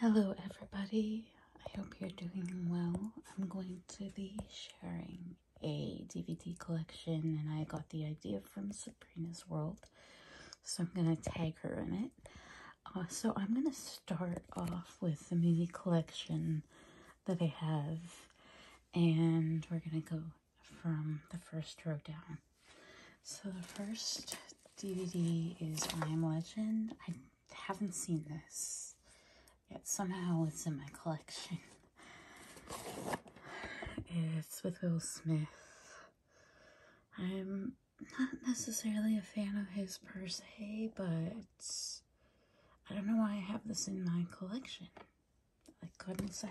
Hello, everybody. I hope you're doing well. I'm going to be sharing a DVD collection, and I got the idea from Sabrina's World, so I'm going to tag her in it. Uh, so I'm going to start off with the movie collection that I have, and we're going to go from the first row down. So the first DVD is I Am Legend. I haven't seen this yet. Somehow it's in my collection. It's with Will Smith. I'm not necessarily a fan of his per se, but I don't know why I have this in my collection. I couldn't say.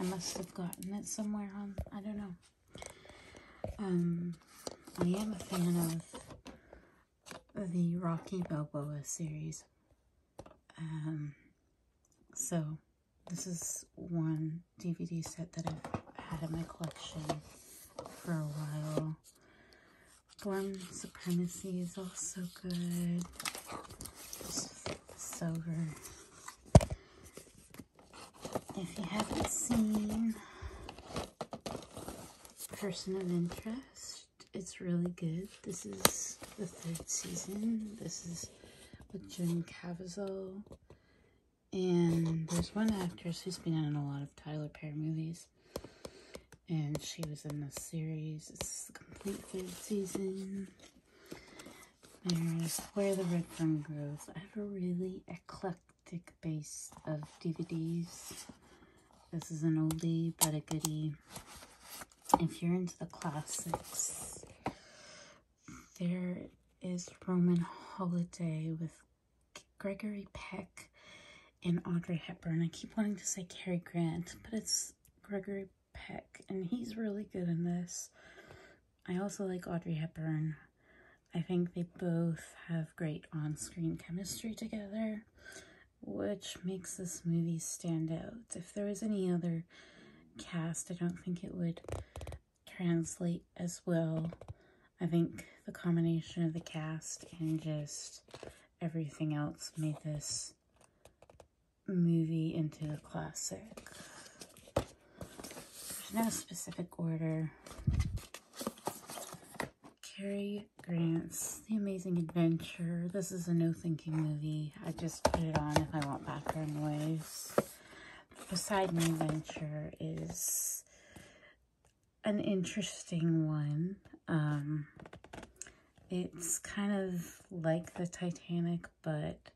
I must have gotten it somewhere on, I don't know. Um, I am a fan of the Rocky Balboa series. Um, so this is one DVD set that I've had in my collection for a while. Born Supremacy is also good. Sober. If you haven't seen Person of Interest, it's really good. This is the third season. This is with Jim Caviezel. And there's one actress who's been in a lot of Tyler Perry movies. And she was in this series. It's the complete third season. There's Where the Red Fern Grows. I have a really eclectic thick base of DVDs. This is an oldie but a goody. If you're into the classics, there is Roman Holiday with Gregory Peck and Audrey Hepburn. I keep wanting to say Cary Grant, but it's Gregory Peck, and he's really good in this. I also like Audrey Hepburn. I think they both have great on-screen chemistry together, which makes this movie stand out. If there was any other cast, I don't think it would translate as well. I think the combination of the cast and just everything else made this movie into a classic. There's no specific order. Cary Grant's The Amazing Adventure. This is a no-thinking movie. I just put it on if I want background noise. *My Adventure is an interesting one. Um, it's kind of like the Titanic, but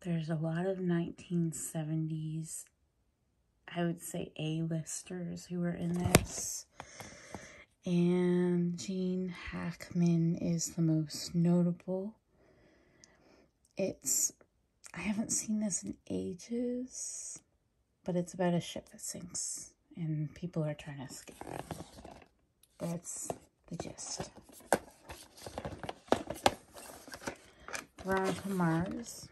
there's a lot of 1970s I would say A-listers who are in this. And Gene Hackman is the most notable. It's, I haven't seen this in ages, but it's about a ship that sinks and people are trying to escape. That's the gist. Veronica Mars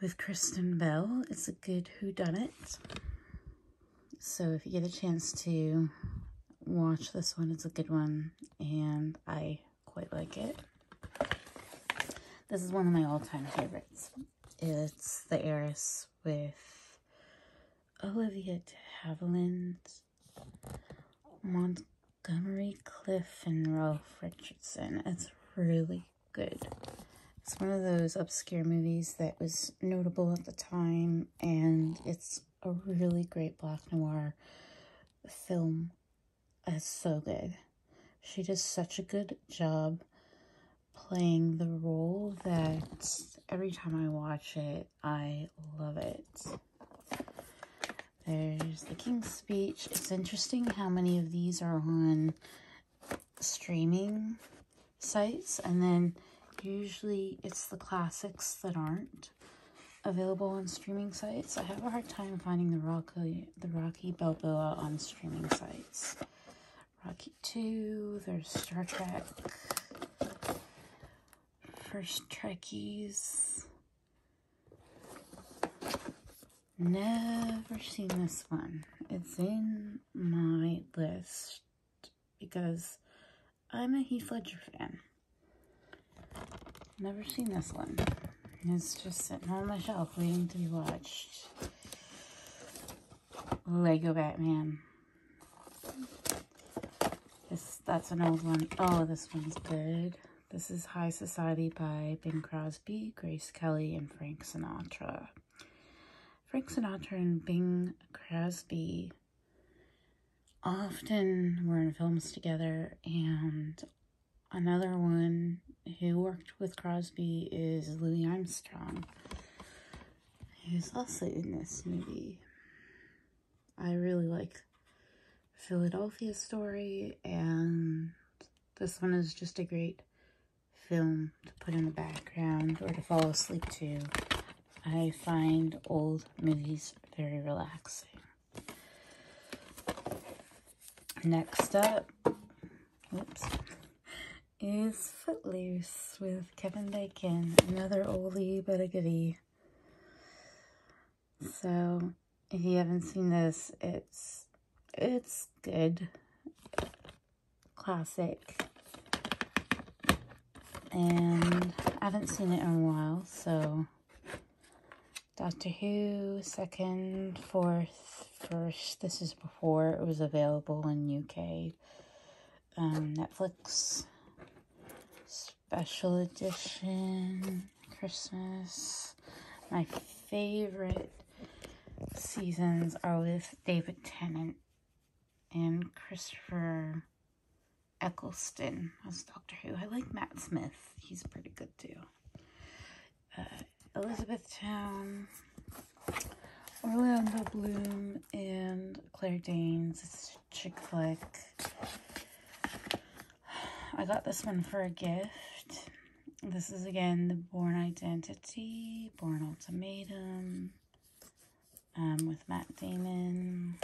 with Kristen Bell. It's a good Who Done It. So if you get a chance to watch this one, it's a good one. And I quite like it. This is one of my all-time favorites. It's The Heiress with Olivia de Havilland Montgomery Cliff and Ralph Richardson. It's really good. It's one of those obscure movies that was notable at the time, and it's a really great black noir film. It's so good. She does such a good job playing the role that every time I watch it, I love it. There's the King's Speech. It's interesting how many of these are on streaming sites, and then usually it's the classics that aren't available on streaming sites. I have a hard time finding the Rocky, the Rocky Balboa on streaming sites. Rocky 2, there's Star Trek, First Trekkies, Never seen this one. It's in my list because I'm a Heath Ledger fan. Never seen this one. It's just sitting on my shelf waiting to be watched. Lego Batman. This, that's an old one. Oh, this one's good. This is High Society by Bing Crosby, Grace Kelly, and Frank Sinatra. Frank Sinatra and Bing Crosby often were in films together, and another one who worked with Crosby is Louis Armstrong, who's also in this movie. I really like Philadelphia Story, and this one is just a great film to put in the background or to fall asleep to. I find old movies very relaxing. Next up, whoops, is Footloose with Kevin Bacon. Another oldie but a goodie. So if you haven't seen this, it's it's good. Classic. And I haven't seen it in a while, so Doctor Who, second, fourth, first. This is before it was available in UK. Um, Netflix special edition Christmas. My favorite seasons are with David Tennant and Christopher Eccleston as Doctor Who. I like Matt Smith. He's pretty good too. Uh, Elizabeth Town, Orlando Bloom, and Claire Danes chick flick. I got this one for a gift. This is again the Born Identity, Born Ultimatum, um, with Matt Damon.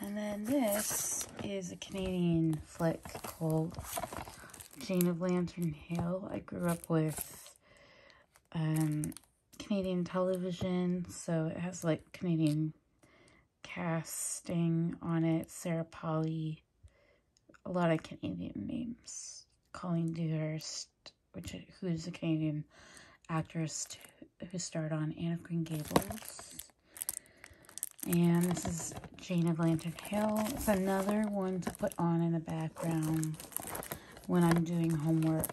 And then this is a Canadian flick called Jane of Lantern Hill. I grew up with um, Canadian television, so it has like Canadian casting on it, Sarah Polley, a lot of Canadian names. Colleen Dewhurst, which who is a Canadian actress who starred on Anne of Green Gables. And this is Jane of Lantern Hill. It's another one to put on in the background when I'm doing homework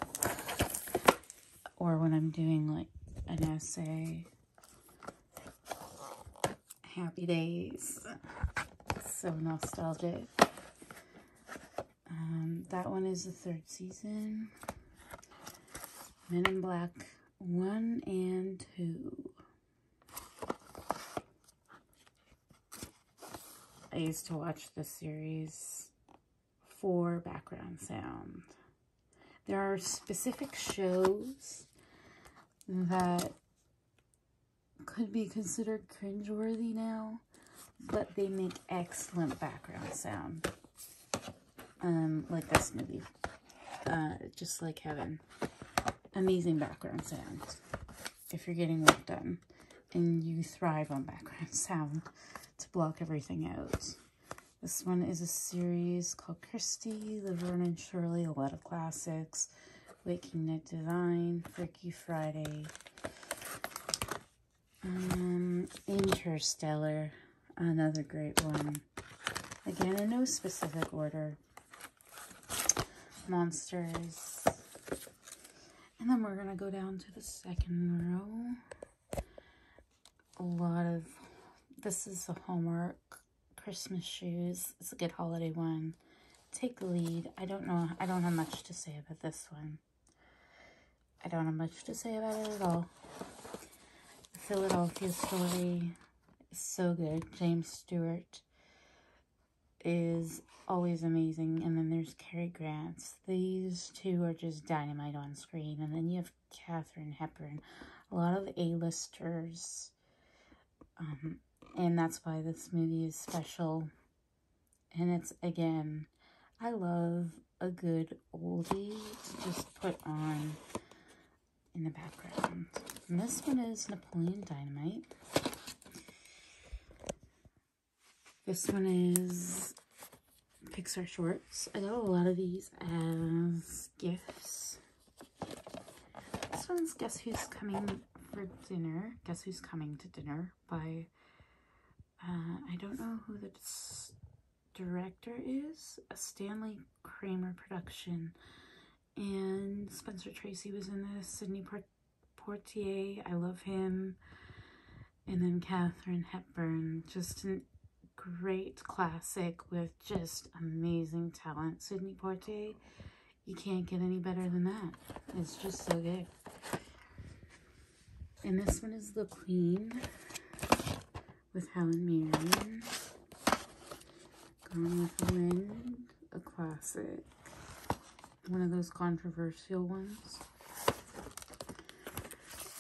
or when I'm doing like an essay. Happy days. So nostalgic. Um, that one is the third season. Men in Black 1 and 2. I used to watch this series for background sound. There are specific shows that could be considered cringeworthy now, but they make excellent background sound. Um, like this movie. Uh, just like heaven. Amazing background sound. If you're getting work done and you thrive on background sound to block everything out. This one is a series called Christie, Laverne, and Shirley, a lot of classics, Waking Night Divine, Freaky Friday, um, Interstellar, another great one. Again, no specific order. Monsters. And then we're going to go down to the second row a lot of, this is a homework. Christmas shoes. It's a good holiday one. Take the lead. I don't know. I don't have much to say about this one. I don't have much to say about it at all. The Philadelphia story is so good. James Stewart is always amazing. And then there's Cary Grant these two are just dynamite on screen. And then you have Catherine Hepburn, a lot of the A-listers. Um, and that's why this movie is special. And it's, again, I love a good oldie just put on in the background. this one is Napoleon Dynamite. This one is Pixar shorts. I got a lot of these as gifts. This one's Guess Who's Coming for Dinner. Guess Who's Coming to Dinner by, uh, I don't know who the director is. A Stanley Kramer production. And Spencer Tracy was in this. Sydney Portier, I love him and then Katherine Hepburn, just a great classic with just amazing talent. Sydney Porte, you can't get any better than that. It's just so good. And this one is The Queen with Helen Mirren. Gone with the Wind, a classic one of those controversial ones.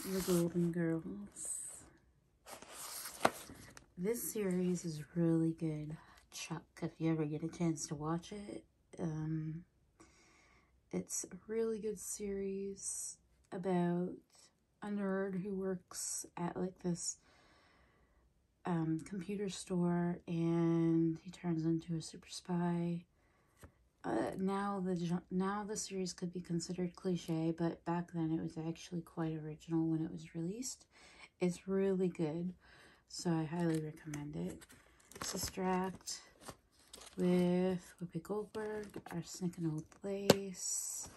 The Golden Girls. This series is really good. Chuck, if you ever get a chance to watch it. Um, it's a really good series about a nerd who works at like this um, computer store and he turns into a super spy uh, now the now the series could be considered cliche, but back then it was actually quite original when it was released. It's really good, so I highly recommend it. Sister Act with Whoopi Goldberg, Our Snickin' Old Place,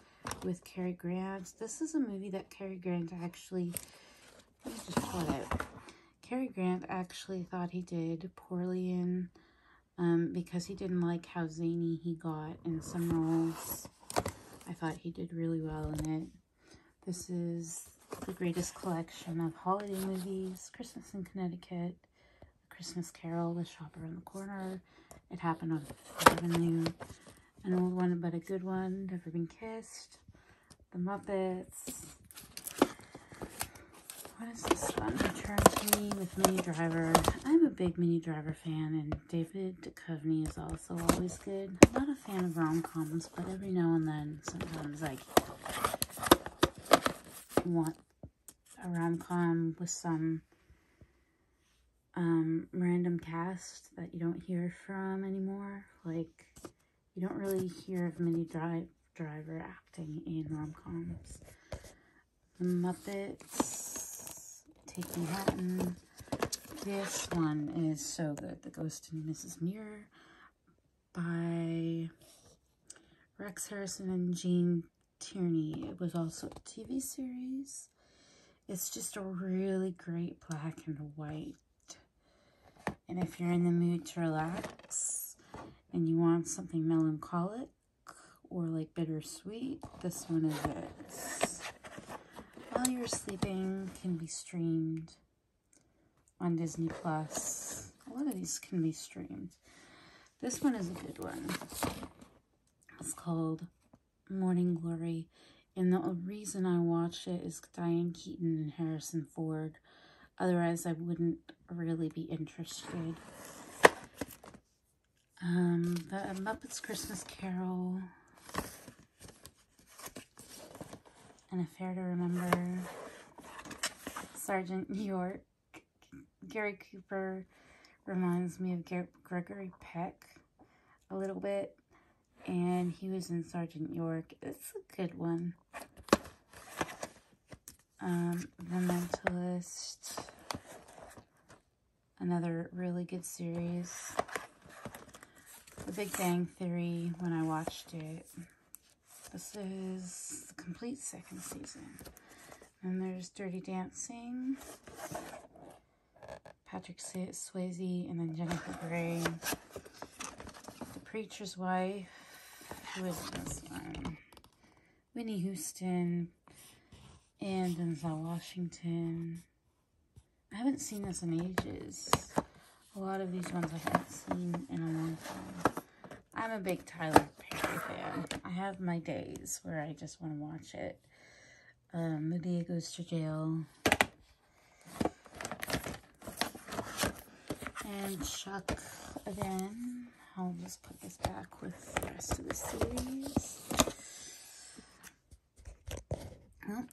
with Cary Grant. This is a movie that Cary Grant actually, let me just pull it Cary Grant actually thought he did poorly in um, because he didn't like how zany he got in some roles. I thought he did really well in it. This is the greatest collection of holiday movies, Christmas in Connecticut, a Christmas Carol, The Shop Around the Corner, It Happened on Fifth Avenue, an old one but a good one, Never Been Kissed, The Muppets, what is this one? Charity with Mini Driver. I'm a big Mini Driver fan, and David Duchovny is also always good. I'm not a fan of rom-coms, but every now and then, sometimes like want a rom-com with some um, random cast that you don't hear from anymore. Like, you don't really hear of many Drive Driver acting in rom-coms. The Muppets, Take Manhattan. This one is so good. The Ghost and Mrs. Muir by Rex Harrison and Gene Tierney. It was also a TV series. It's just a really great black and white and if you're in the mood to relax and you want something melancholic or like bittersweet, this one is it. While You're Sleeping can be streamed on Disney Plus. A lot of these can be streamed. This one is a good one. It's called Morning Glory. And the reason I watched it is Diane Keaton and Harrison Ford Otherwise, I wouldn't really be interested. Um, the Muppets Christmas Carol. An Affair to Remember. Sergeant York. Gary Cooper reminds me of Ger Gregory Peck a little bit. And he was in Sergeant York. It's a good one. Um, the Mentalist, another really good series. The Big Bang Theory, when I watched it. This is the complete second season. And there's Dirty Dancing, Patrick Swayze, and then Jennifer Grey. The Preacher's Wife. Who is this one? Winnie Houston and Denzel Washington. I haven't seen this in ages. A lot of these ones I haven't seen in a long time. I'm a big Tyler Perry fan. I have my days where I just want to watch it. Um, the Dia Goes to Jail. And Chuck again. I'll just put this back with the rest of the series. Oh,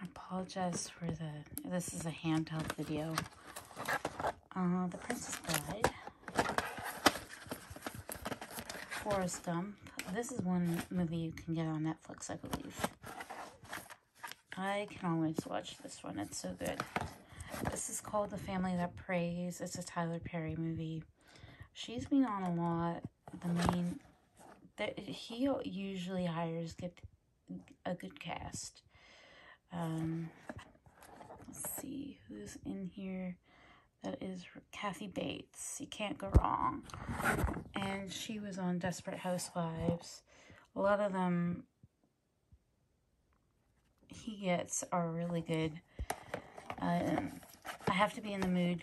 I apologize for the, this is a handheld video. Uh, the Princess Bride. Forrest Gump. This is one movie you can get on Netflix, I believe. I can always watch this one. It's so good. This is called The Family That Prays. It's a Tyler Perry movie. She's been on a lot. The main... The, he usually hires get a good cast. Um, let's see who's in here. That is Kathy Bates. You can't go wrong. And she was on Desperate Housewives. A lot of them he gets are really good. Um, I have to be in the mood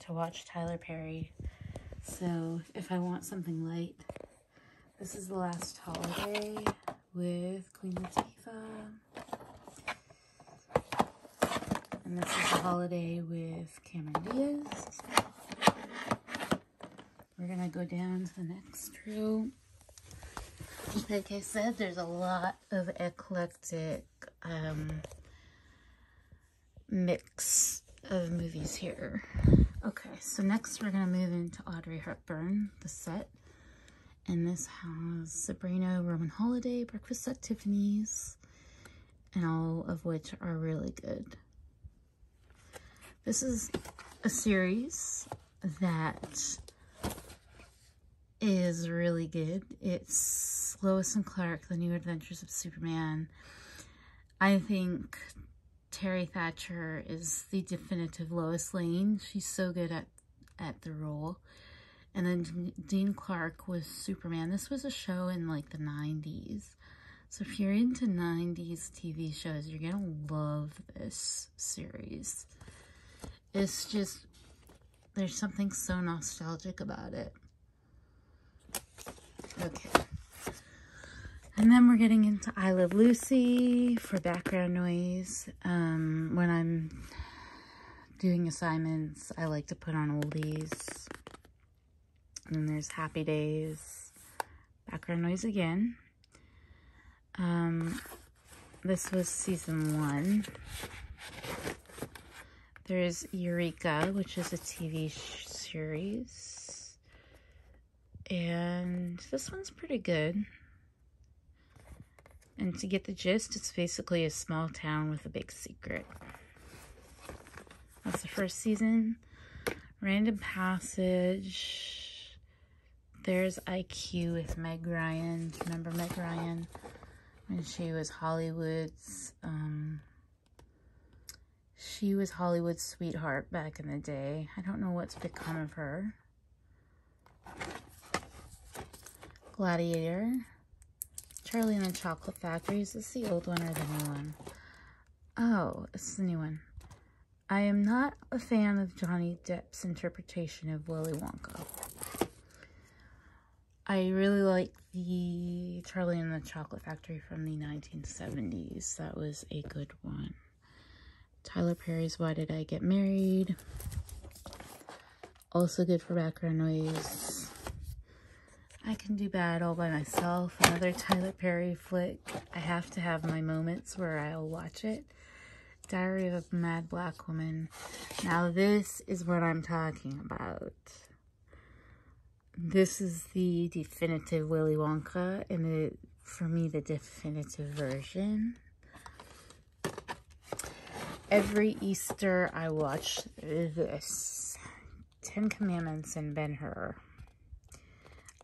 to watch Tyler Perry. So if I want something light, this is The Last Holiday with Queen Latifah. And this is The Holiday with Cameron Diaz. We're gonna go down to the next room. Like I said, there's a lot of eclectic um, mix of movies here. Okay, so next we're gonna move into Audrey Hepburn, the set. And this has Sabrina, Roman Holiday, Breakfast at Tiffany's, and all of which are really good. This is a series that is really good. It's Lois and Clark, The New Adventures of Superman. I think Terry Thatcher is the definitive Lois Lane. She's so good at, at the role. And then Dean Clark was Superman. This was a show in like the 90s. So if you're into 90s TV shows, you're going to love this series. It's just, there's something so nostalgic about it. Okay. And then we're getting into I Love Lucy for background noise. Um, when I'm doing assignments, I like to put on oldies and then there's Happy Days. Background noise again. Um, this was season one. There's Eureka, which is a TV series. And this one's pretty good. And to get the gist, it's basically a small town with a big secret. That's the first season. Random Passage. There's IQ with Meg Ryan. Remember Meg Ryan? When she was Hollywood's, um, she was Hollywood's sweetheart back in the day. I don't know what's become of her. Gladiator. Charlie and the Chocolate Factory. Is this the old one or the new one? Oh, it's a new one. I am not a fan of Johnny Depp's interpretation of Willy Wonka. I really like the Charlie and the Chocolate Factory from the 1970s. That was a good one. Tyler Perry's Why Did I Get Married? Also good for background noise. I Can Do Bad All By Myself, another Tyler Perry flick. I have to have my moments where I'll watch it. Diary of a Mad Black Woman. Now this is what I'm talking about. This is the definitive Willy Wonka and the, for me the definitive version. Every Easter I watch this. Ten Commandments and Ben-Hur.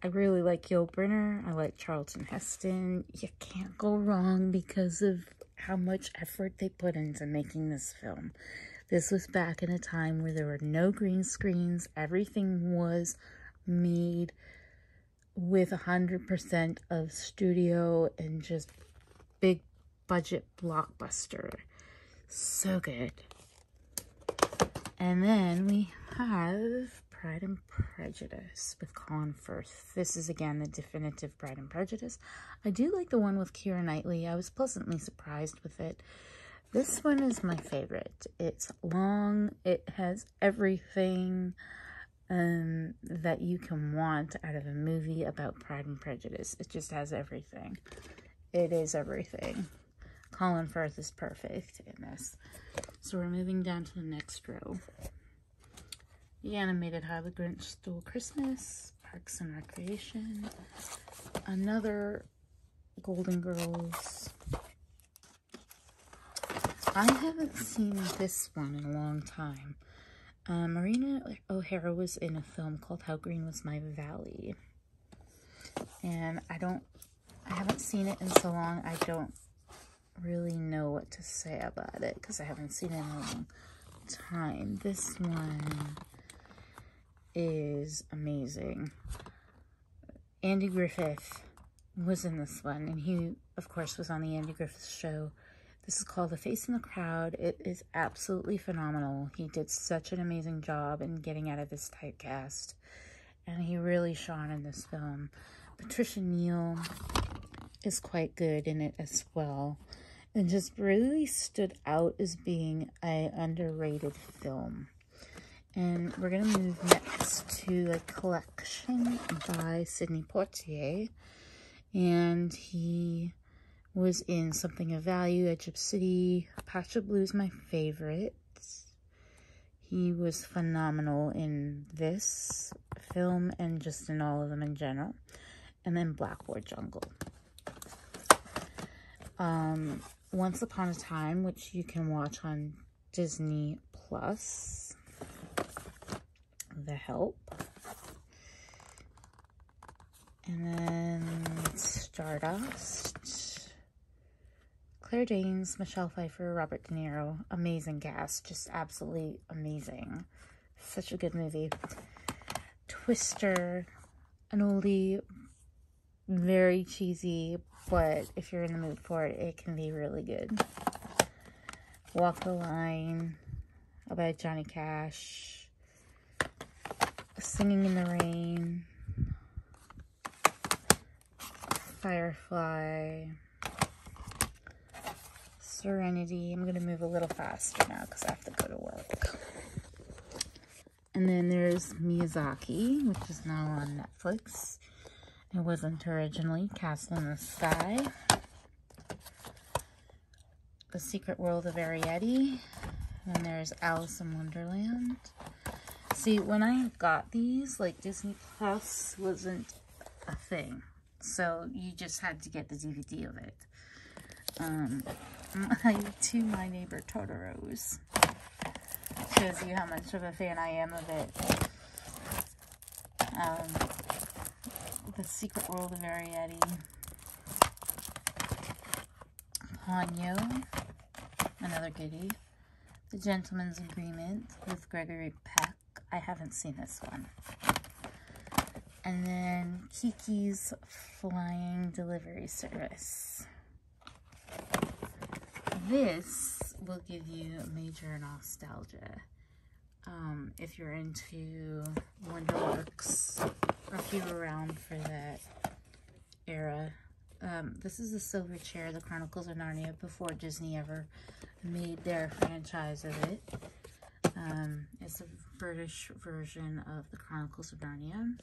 I really like Gil Brenner. I like Charlton Heston. You can't go wrong because of how much effort they put into making this film. This was back in a time where there were no green screens. Everything was made with 100% of studio and just big budget blockbuster. So good. And then we have Pride and Prejudice with Colin Firth. This is again the definitive Pride and Prejudice. I do like the one with Keira Knightley. I was pleasantly surprised with it. This one is my favorite. It's long. It has everything um, that you can want out of a movie about Pride and Prejudice. It just has everything. It is everything. Colin Firth is perfect in this. So we're moving down to the next row. The animated How the Grinch Stole Christmas, Parks and Recreation, another Golden Girls. I haven't seen this one in a long time. Uh, Marina O'Hara was in a film called How Green Was My Valley. And I don't, I haven't seen it in so long, I don't really know what to say about it because I haven't seen it in a long time. This one is amazing. Andy Griffith was in this one, and he, of course, was on the Andy Griffith Show. This is called The Face in the Crowd. It is absolutely phenomenal. He did such an amazing job in getting out of this typecast, and he really shone in this film. Patricia Neal is quite good in it as well, and just really stood out as being a underrated film. And we're going to move next to a collection by Sidney Poitier. And he was in Something of Value, Egypt City. Pacha Blue is my favorite. He was phenomenal in this film and just in all of them in general. And then Blackboard Jungle. Um, Once Upon a Time, which you can watch on Disney Plus. The Help. And then Stardust. Claire Danes, Michelle Pfeiffer, Robert De Niro. Amazing cast. Just absolutely amazing. Such a good movie. Twister. An oldie. Very cheesy. But if you're in the mood for it, it can be really good. Walk the Line. About Johnny Cash. Singing in the Rain, Firefly, Serenity. I'm going to move a little faster now because I have to go to work. And then there's Miyazaki, which is now on Netflix. It wasn't originally, Castle in the Sky. The Secret World of Arietti. And there's Alice in Wonderland. See, when I got these, like Disney Plus wasn't a thing. So you just had to get the DVD of it. Um, to my neighbor Totoro Shows you how much of a fan I am of it. Um, the Secret World of Arietti. Ponyo, another goodie. The Gentleman's Agreement with Gregory Peck. I haven't seen this one. And then Kiki's Flying Delivery Service. This will give you major nostalgia. Um, if you're into Wonderworks. a few around for that era. Um, this is the silver chair, the Chronicles of Narnia, before Disney ever made their franchise of it. Um, it's a British version of the Chronicles of Narnia.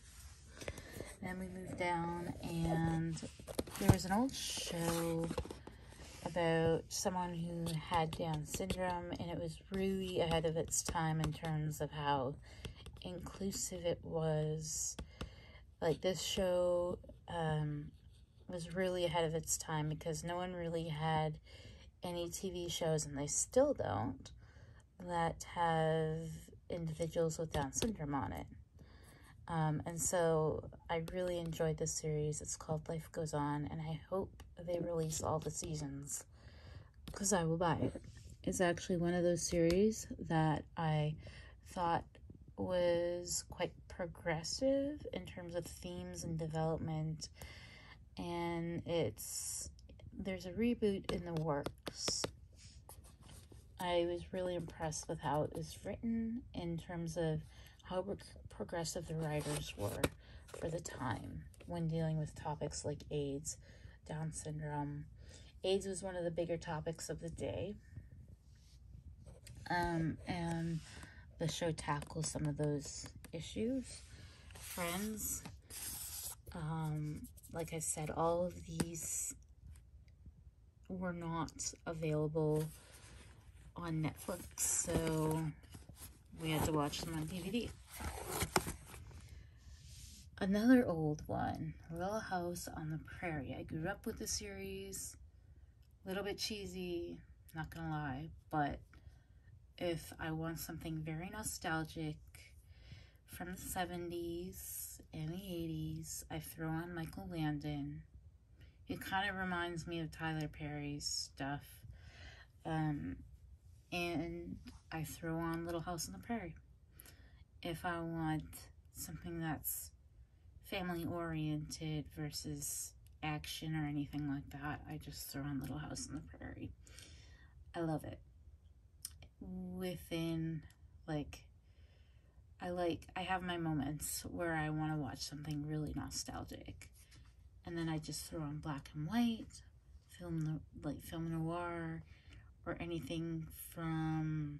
Then we move down and there was an old show about someone who had Down syndrome and it was really ahead of its time in terms of how inclusive it was. Like this show um, was really ahead of its time because no one really had any TV shows, and they still don't, that have individuals with Down syndrome on it. Um, and so I really enjoyed this series. It's called Life Goes On, and I hope they release all the seasons because I will buy it. It's actually one of those series that I thought was quite progressive in terms of themes and development. And it's there's a reboot in the works. I was really impressed with how it was written in terms of how progressive the writers were for the time when dealing with topics like AIDS, Down syndrome. AIDS was one of the bigger topics of the day. Um, and the show tackles some of those issues. Friends, um, like I said, all of these were not available on Netflix, so we had to watch them on DVD. Another old one, Little House on the Prairie. I grew up with the series. A little bit cheesy, not gonna lie, but if I want something very nostalgic from the 70s and the 80s, I throw on Michael Landon. It kind of reminds me of Tyler Perry's stuff. Um, and I throw on Little House on the Prairie. If I want something that's family oriented versus action or anything like that, I just throw on Little House on the Prairie. I love it. Within, like, I like, I have my moments where I want to watch something really nostalgic. And then I just throw on black and white film like film noir or anything from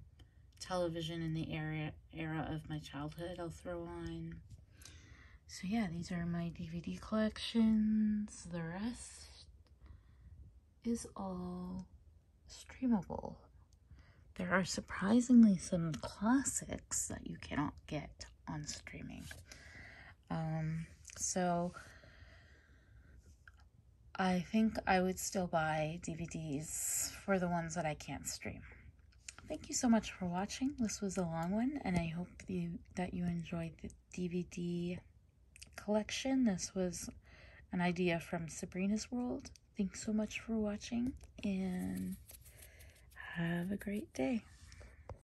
television in the era era of my childhood I'll throw on. So yeah, these are my DVD collections. The rest is all streamable. There are surprisingly some classics that you cannot get on streaming. Um, so I think I would still buy DVDs for the ones that I can't stream. Thank you so much for watching. This was a long one, and I hope that you enjoyed the DVD collection. This was an idea from Sabrina's World. Thanks so much for watching, and have a great day.